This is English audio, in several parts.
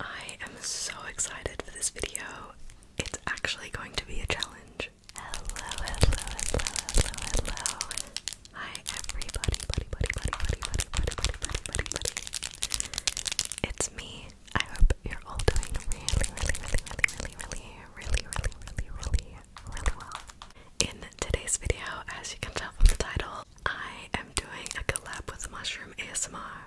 I am so excited for this video. It's actually going to be a challenge. Hello, hello, hello, hello, hello. Hi everybody, buddy, buddy, buddy, buddy, buddy, buddy, buddy, buddy, buddy, It's me. I hope you're all doing really, really, really, really, really, really, really, really, really, really well. In today's video, as you can tell from the title, I am doing a collab with Mushroom ASMR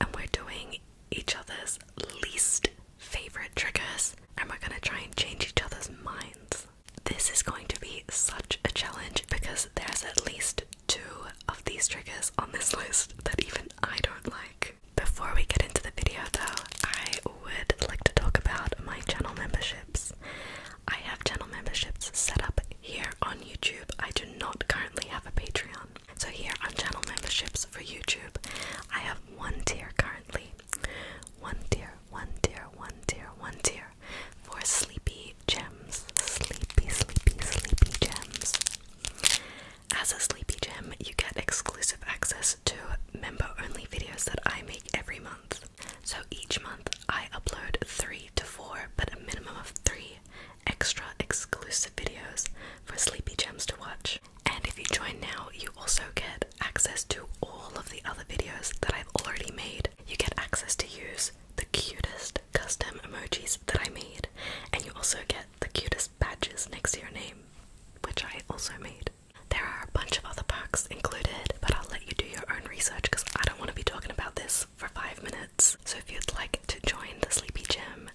and we're doing each other's least favorite triggers, and we're gonna try and change each other's minds. This is going to be such a challenge because there's at least two of these triggers on this list that even I don't like. Before we get into the video, though, I would like to talk about my channel memberships. I have channel memberships set up here on YouTube. I do not currently have a Patreon. So here on channel memberships for YouTube, I have one tier currently. One tier, one tier, one tier, one tier for sleepy gems. Sleepy, sleepy, sleepy gems. As a sleepy gem, you get exclusive access to member-only videos that I make every month. So each month I upload three to four, but a minimum of three extra exclusive videos for Sleepy Gems to watch. And if you join now, you also get access to all of the other videos that I've already made. You get access to use the cutest custom emojis that I made, and you also get the cutest badges next to your name, which I also made. There are a bunch of other perks included, but I'll let you do your own research because I don't want to be talking about this for five minutes. So if you'd like to join the Sleepy Gym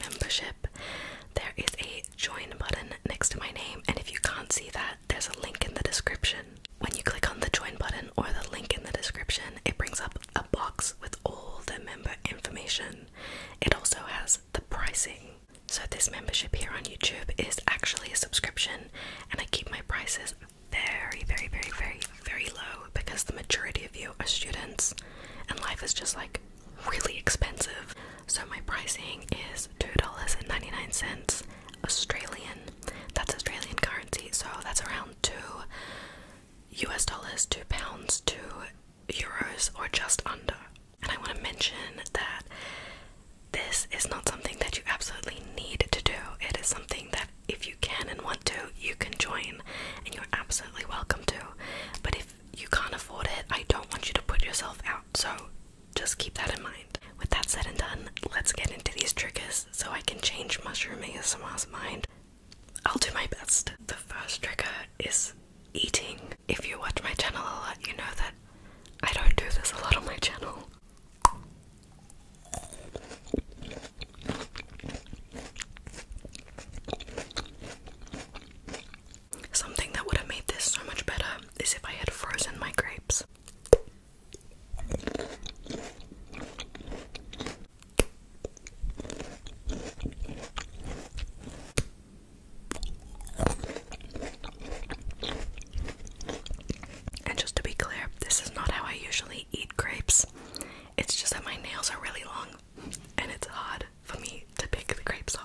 membership, there is a join button next to my name, and if you can't see that, there's a link in the description. When you click on the join button or the link in the description, it brings up a box with all the member information. It also has the pricing. So, this membership here on YouTube is actually a subscription, and I keep my prices very, very, very, very very, low because the majority of you are students and life is just like really expensive. So my pricing is $2.99 Australian. That's Australian currency, so that's around 2 US dollars, 2 pounds, 2 euros, or just under. And I want to mention that this is not something that you absolutely need to do. It is something that if you you can and want to, you can join and you're absolutely welcome to. But if you can't afford it, I don't want you to put yourself out. So just keep that in mind. With that said and done, let's get into these triggers so I can change Mushroom ASMR's mind. I'll do my best. The first trigger is eating. If you watch my channel a lot, you know that I don't do this a lot on my channel. Something that would have made this so much better is if I had frozen my grapes. And just to be clear, this is not how I usually eat grapes. It's just that my nails are really long and it's hard for me to pick the grapes up.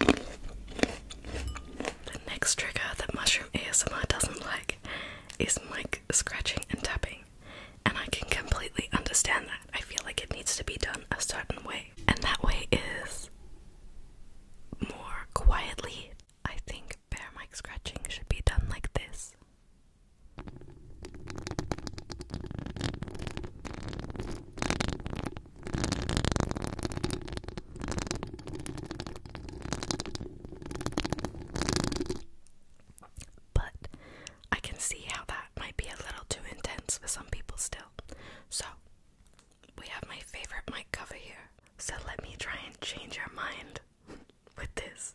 The next trigger that Mushroom ASMR doesn't like is mic scratching and tapping. And I can completely understand that. I feel like it needs to be done a certain way. And that way is more quietly. I think bare mic scratching should be done like this. But I can see how that might be a little too intense for some people still. So, we have my favorite mic cover here. So, let me try and change your mind with this.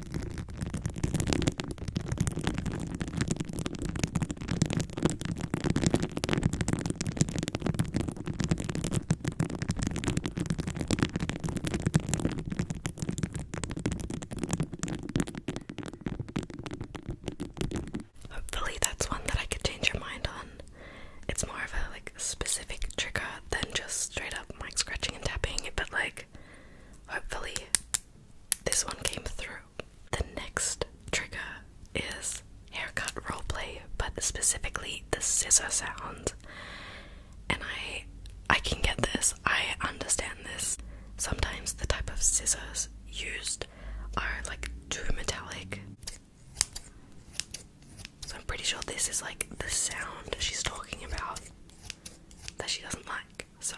Hopefully, that's one that I could change your mind on. It's more of a like specific trigger than just straight up like scratching and tapping, but like hopefully this one came through. The next trigger is haircut roleplay, but specifically the scissor sound. And I I can get this. I understand this. Sometimes the type of scissors used are like too metallic. So I'm pretty sure this is like the sound she's talking about that she doesn't like. So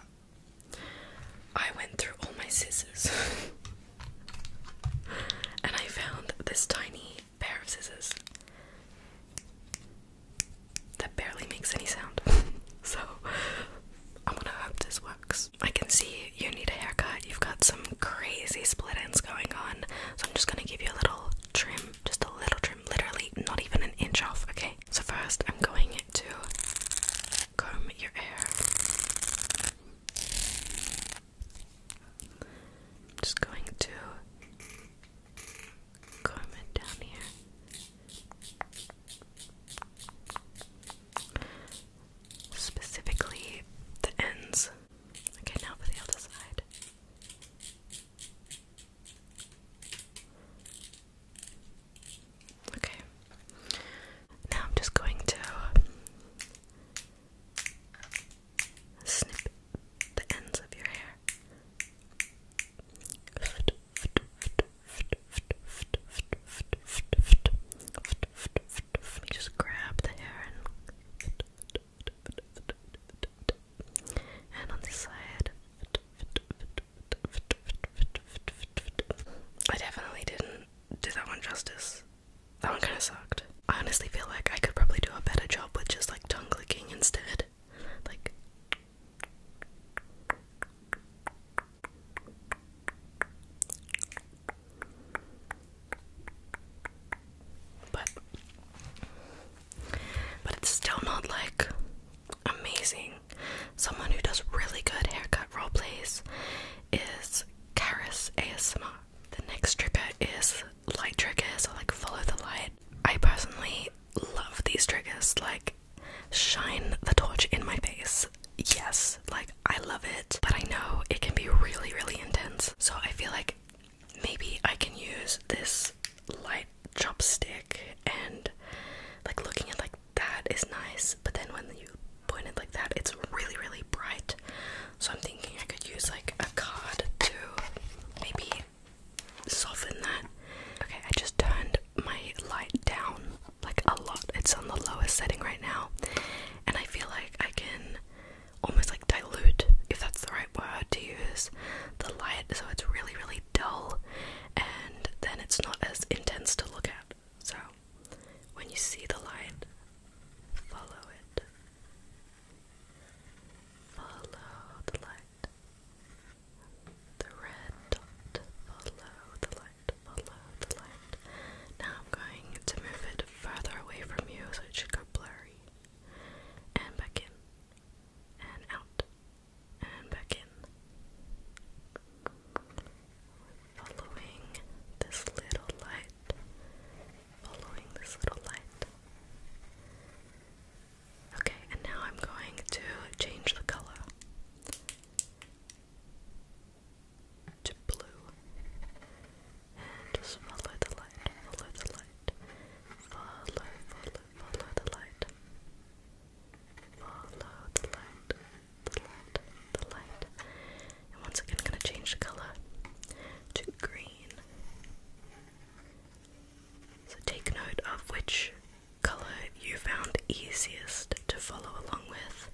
I went through all my scissors and I found this tiny pair of scissors that barely makes any sound. so I'm gonna hope this works. I can see you need a haircut, you've got some crazy split ends going on, so I'm just gonna give you a little trim, just a little trim, literally not even an inch off, okay? So, first, I'm going to comb your hair. just going to comb it down here. Specifically the ends. Okay, now for the other side. Okay. Now I'm just going to snip the ends of your hair. Let me just grab the hair and and on this side. I definitely didn't do that one justice. That one kind of sucked. I honestly feel like I could probably do a better job with just like tongue clicking instead. Like. But. But it's still not like amazing. Someone who does really good haircut role plays is Karis Asma. The next trigger is light triggers or like follow the light. I personally love these triggers, like shine the torch in my face. Yes, like I love it, but I know it can be really, really intense. So I feel like maybe I can use this light chopstick and like looking at like that is nice, but then when you point it like that, it's really, really bright. So I'm thinking I could use like a card to maybe soften that. Okay, I just turned my light down like a lot. It's on the lowest setting right now, and I feel like I can almost like dilute, if that's the right word to use, the light so it's really, really dull and then it's not as intense to look at. So when you see the light, follow it. Follow the light. The red dot. Follow the light. Follow the light. Now I'm going to move it further away from you so it should go blurry. And back in. And out and back in. Following this little light, following this little light. Okay, and now I'm going to change the color to blue. And just follow the light, follow the light, follow, follow, follow the light. Follow the light, the light, the light. And once again, I'm going to change the color to green. So take note of which color you found easiest to follow along with.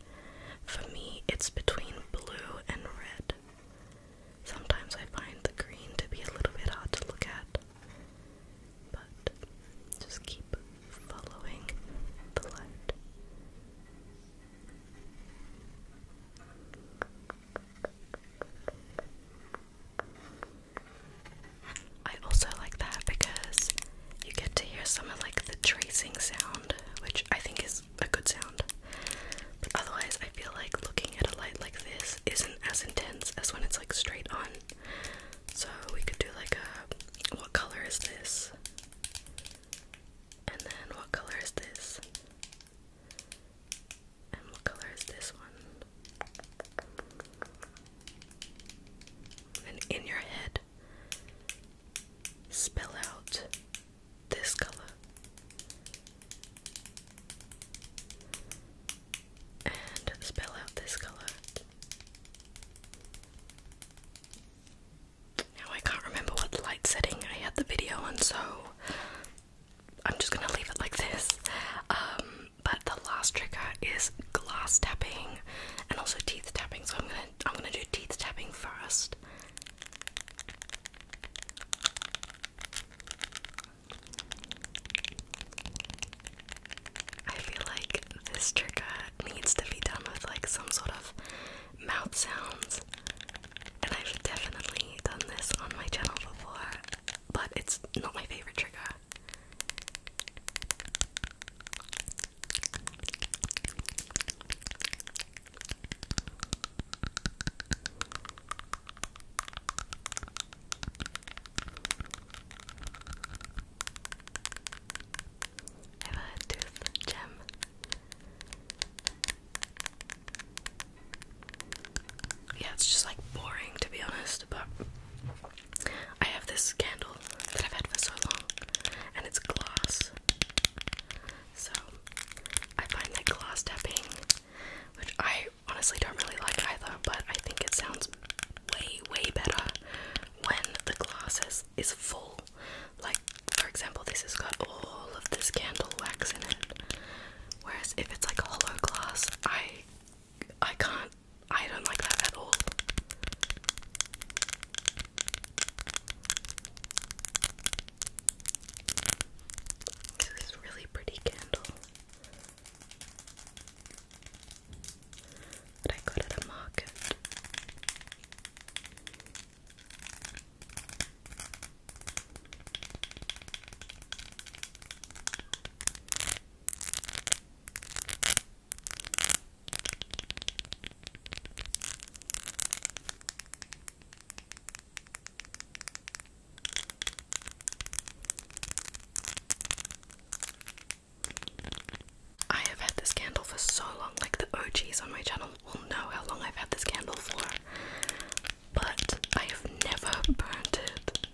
For me, it's between blue and red. Sometimes I find the green to be a little bit hard to look at. But just keep following the light. I also like that because you get to hear some of like the tracing sound, which I think is a good sound. But otherwise, I feel like looking at a light like this isn't as intense as when it's like straight on. So we could do like a what color is this? And then what color is this? And what color is this one? And in your head, spell out this color. And spell out this color. Now I can't remember what light setting I had the video on, so I'm just gonna leave it like this. Um, but the last trigger is glass tapping and also teeth tapping, so I'm gonna I'm gonna do teeth tapping first. I feel like this trigger needs to be done with like some sort of mouth sounds. And I've definitely done this on my channel before, but it's not my favorite trigger. Yeah, it's just like boring to be honest, but I have this candle that I've had for so long and it's glass. So I find that glass tapping, which I honestly don't really like either, but I think it sounds way, way better when the glass is, full. Like, for example, this has got all of this candle wax in it. Whereas if it's like hollow glass, I I can't I don't like that at all. This is really pretty candle. But I got at a market. I have had this candle for so long, like the OGs on my channel will know how long I've had this candle for, but I have never burnt it,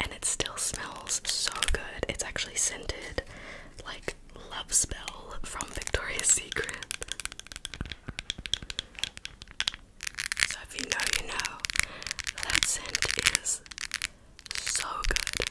and it still smells so good. It's actually scented like Love Spell from Victoria's Secret. So if you know, you know, that scent is so good.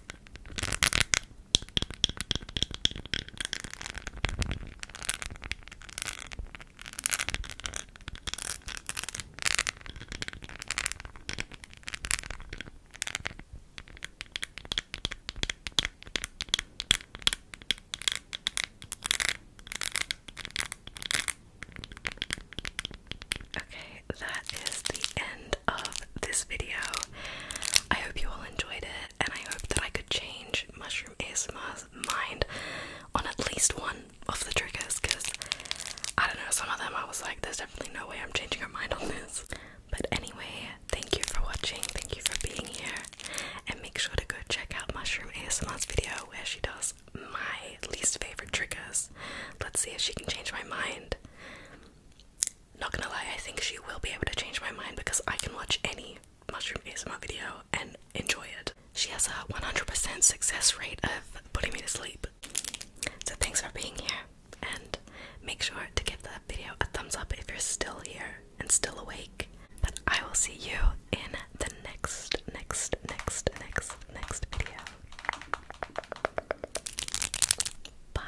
Okay, that is the end of this video. I hope you all enjoyed it, and I hope that I could change Mushroom Asma's mind on at least one of the triggers because I don't know, some of them I was like, there's definitely no way I'm changing her mind on this. But anyway, thank you for watching, thank you for being here, and make sure to go check out Mushroom ASMR's video where she does my least favorite triggers. Let's see if she can change my mind not gonna lie, I think she will be able to change my mind because I can watch any mushroom my video and enjoy it. She has a 100% success rate of putting me to sleep. So thanks for being here, and make sure to give the video a thumbs up if you're still here and still awake. But I will see you in the next, next, next, next, next video. Bye.